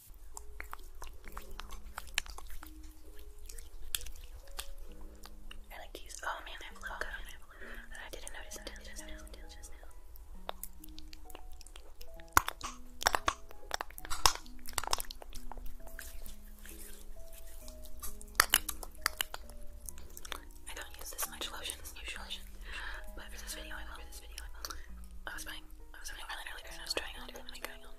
I like these. Oh man, I have a I didn't notice until just now. I don't use this much lotion usually, but for this video, I will. For this video, I was buying. I was buying eyeliner earlier, and I was trying on, trying on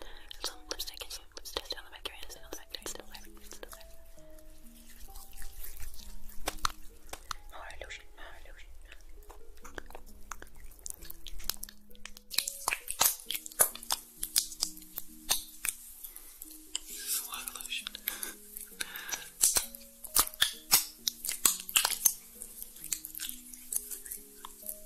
lipstick and Let's test it on the back here. Is it on the back there? It's still there. It's still there. More illusion, more illusion. This is a lot of lotion.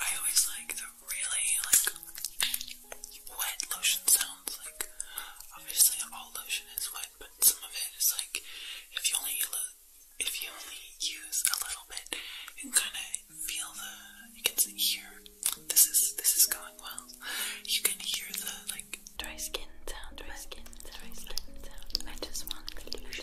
I always like the really like wet lotion sounds. Like obviously all lotion is wet, but some of it is like if you only if you only use a little bit, you can kind of feel the. You can hear this is this is going well. You can hear the like dry skin sound, dry skin, sound. I just want the lotion.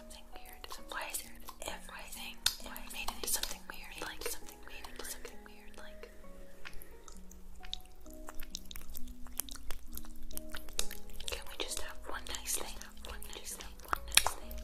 something weird. Why is there everything, everything made into something weird? like something weird. Like. Can we just have one nice thing? One nice thing. One nice thing.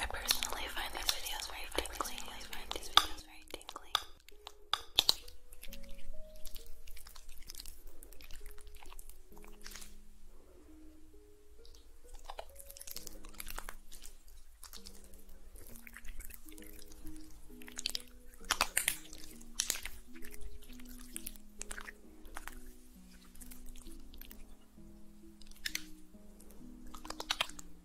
I personally find these videos very funny. I find these videos very tingly. I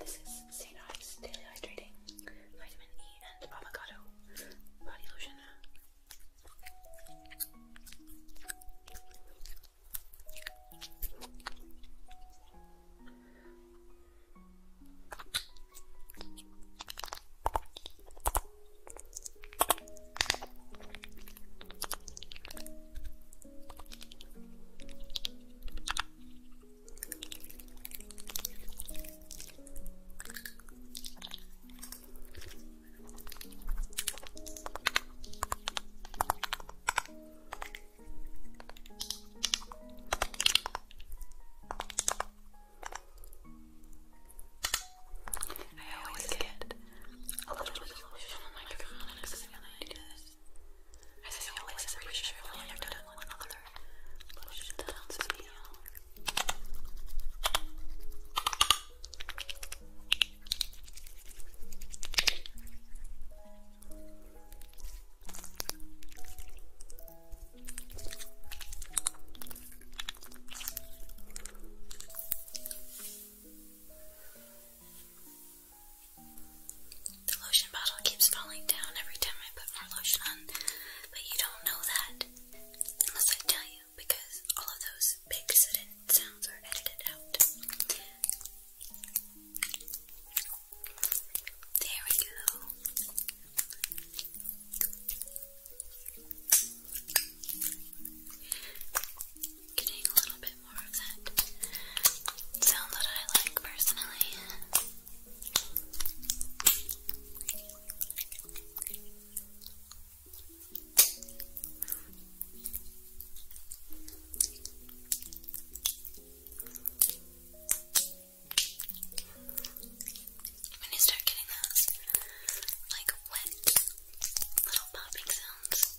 This is St. Ives Daily Hydrating Vitamin E and Avocado Body Lotion. I always get a little bit of illusion on my phone because I do this. I say all this pretty sure I've only ever done one other illusion dance video. I the lotion bottle keeps falling down every time I put more lotion on, but you don't know that unless I tell you because all of those big sudden sounds are edited out. There we go getting a little bit more of that sound that I like personally. When you start getting those like wet little popping sounds,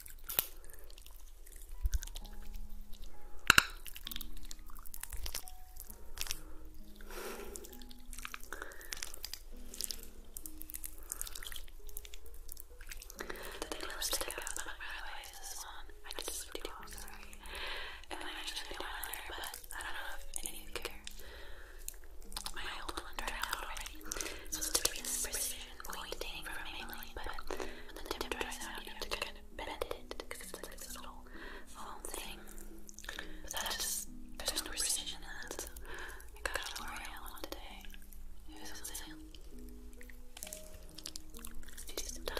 The thing was stick out, but I realized this one. I just, just did it, sorry. And I actually did one there, but I don't know if any of you care. My old one dried out already, so it's to be this precision pointing from Emily, but the tip dries out, you have to kind of bend it because it's like this little foam thing. But that's just, there's no precision in that, I got an L'Oreal one day. on sale. Let's do some top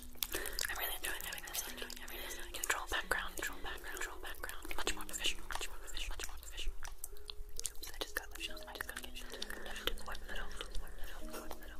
I'm really enjoying having this. I'm enjoying having this. Control background, control background, control background. Much more efficient, much more efficient, much more efficient. I just got lip shells. I just gotta get shells. Left to the white middle, white middle, white middle.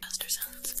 Master sounds.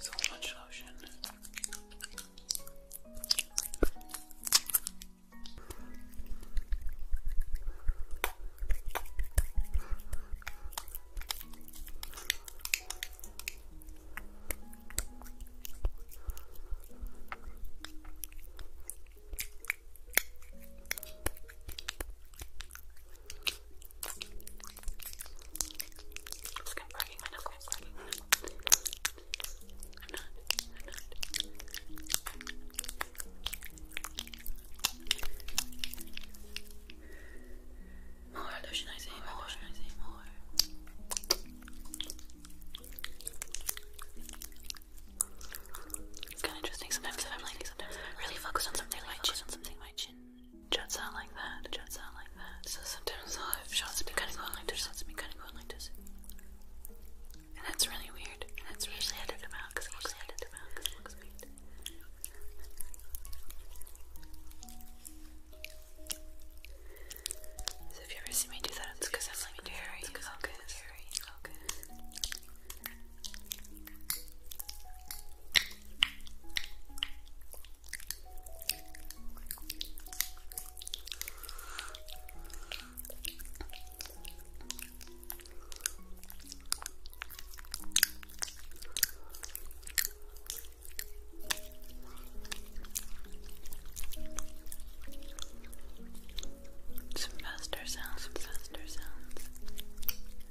So much lotion. More lotion, more, It's kind of interesting sometimes if I'm like, sometimes if I'm really focused on something, like chin, on something, my chin. Jets out like that, jets out like that. So sometimes I'll have shots be kind of going like this, shots be kind of going like this. And that's really weird. And that's usually edit them out because it looks edit them out because it looks weird. So if you ever see me do that, it's because I'm like very focused. Very focused. Some faster sounds, some sounds.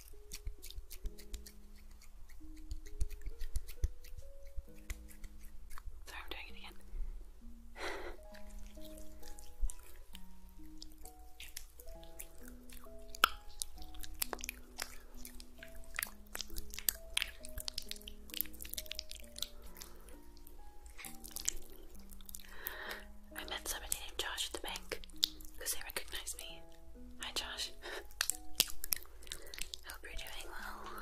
Sorry, I'm doing it again. I met somebody named Josh at the bank because they recognized me Hi Josh. Hope you're doing well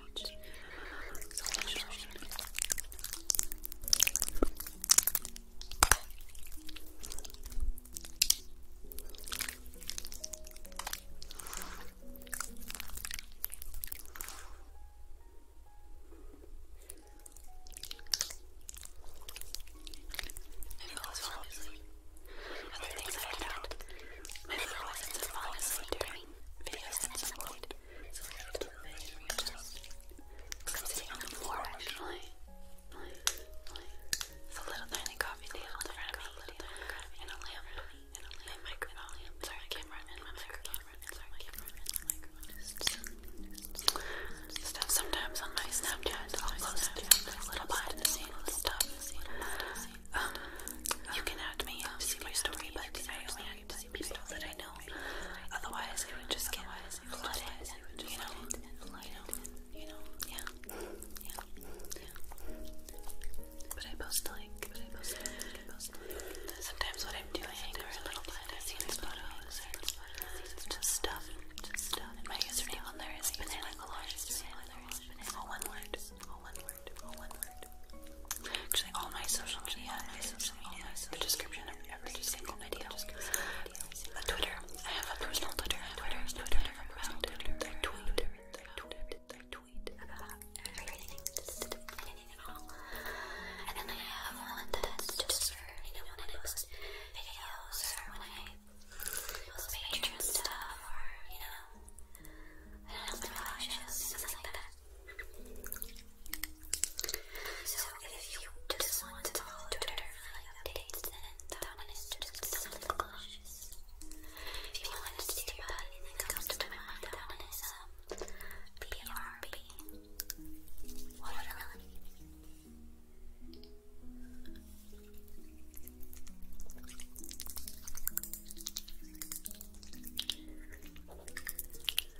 much, so I fell asleep. Other things I found. My little asleep during videos at some I'm It's a little tiny coffee table in front of me and a lamp and a lamp and microphone. Sorry, camera and my microphone. Sorry, camera and my microphone. Stuff sometimes on my Snapchat i um, you can add me to see my story, but people that I know. Otherwise, it would just get flooded, you know, you know, yeah, yeah, But I post like, Sometimes what I'm doing or little bit, I see these photos just stuff, just stuff. my username on there is banana collage, all one word, all oh, one word word, all one word. Actually, all my social media, yeah, my social media, all my social the description of every single video. The Twitter, I have a personal Twitter. Twitter, Twitter, I have a personal Twitter. I tweet, I tweet, I tweet about everything, just anything at all. And then I have one that's just for, you know, when I post videos or when I post Patreon stuff or, you know, I don't know, my lashes, things like that. So if you just want to follow then that one is just something cautious. If you want to see about anything that that one is um BRB. Watermelon.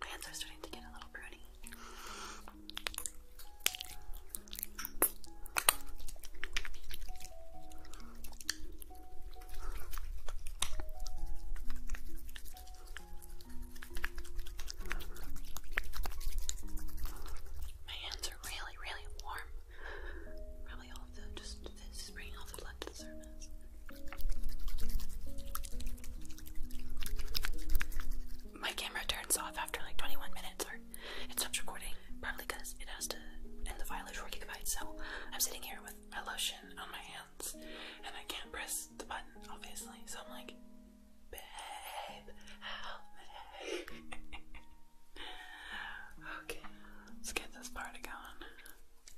My hands are starting to get a little browny. My hands are really, really warm. Probably my camera turns off after like 21 minutes, or it stops recording. Probably because it has to end the file at 4 gigabytes. So I'm sitting here with my lotion on my hands, and I can't press the button, obviously. So I'm like, babe, okay, let's get this party going.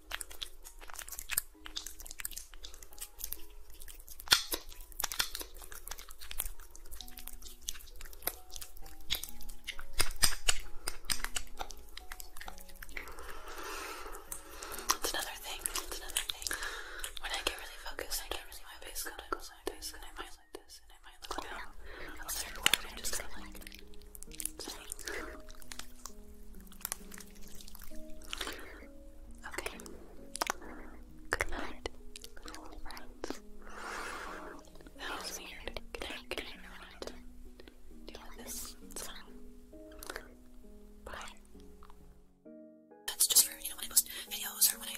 It's another thing. It's another thing. When I get really focused, I get really my face goes like this, and I might like this, and I might look like that. I'm just kind of like. Okay. Good night. Good friends. That was weird. Good night, good night, Do this Bye. That's just for, you know, when I post videos or when I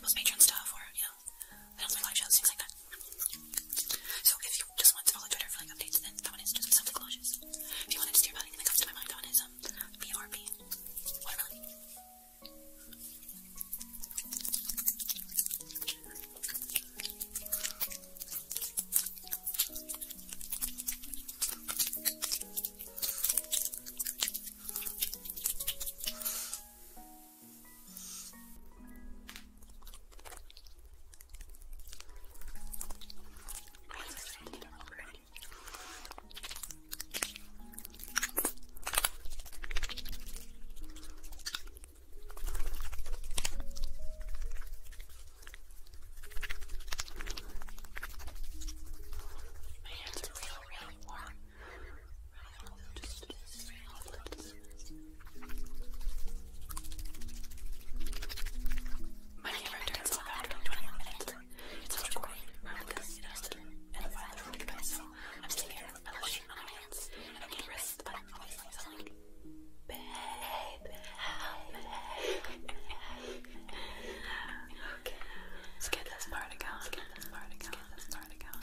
post Patreon stuff or, you know, I do my live shows, things like that. So if you just want to follow Twitter for like updates, then that one is just something delicious. If you want to hear about that comes to my mind, that one is um BRB. My hands are really, really warm. I don't know, just, just, just, my camera turns off after 21 minutes. It's not recording. I'm with this and a violent road goodbye, so I'm sitting here with a lotion on my hands I can't rest, I'm always like something. Babe, help me. Okay. Skip this part again. Skip this part again. Skip this part again.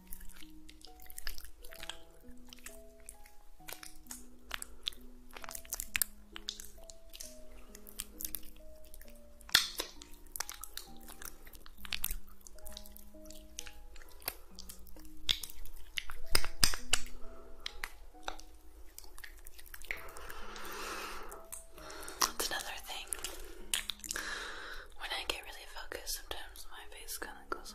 That's another thing. When I get really focused, sometimes my face kind of goes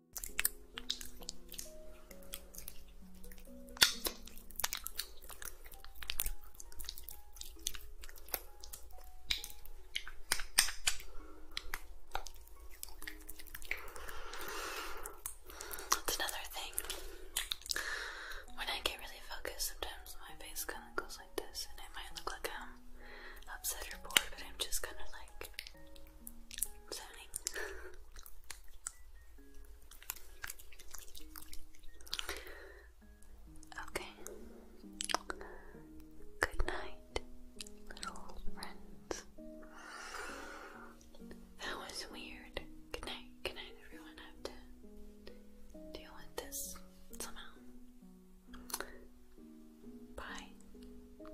That's another thing. When I get really focused, sometimes my face kind of goes like this, and it might look like I'm upset or bored, but I'm just kind of like zoning. Okay. Good night, little friends. That was weird. Good night, good night, everyone. I have to deal with this somehow. Bye.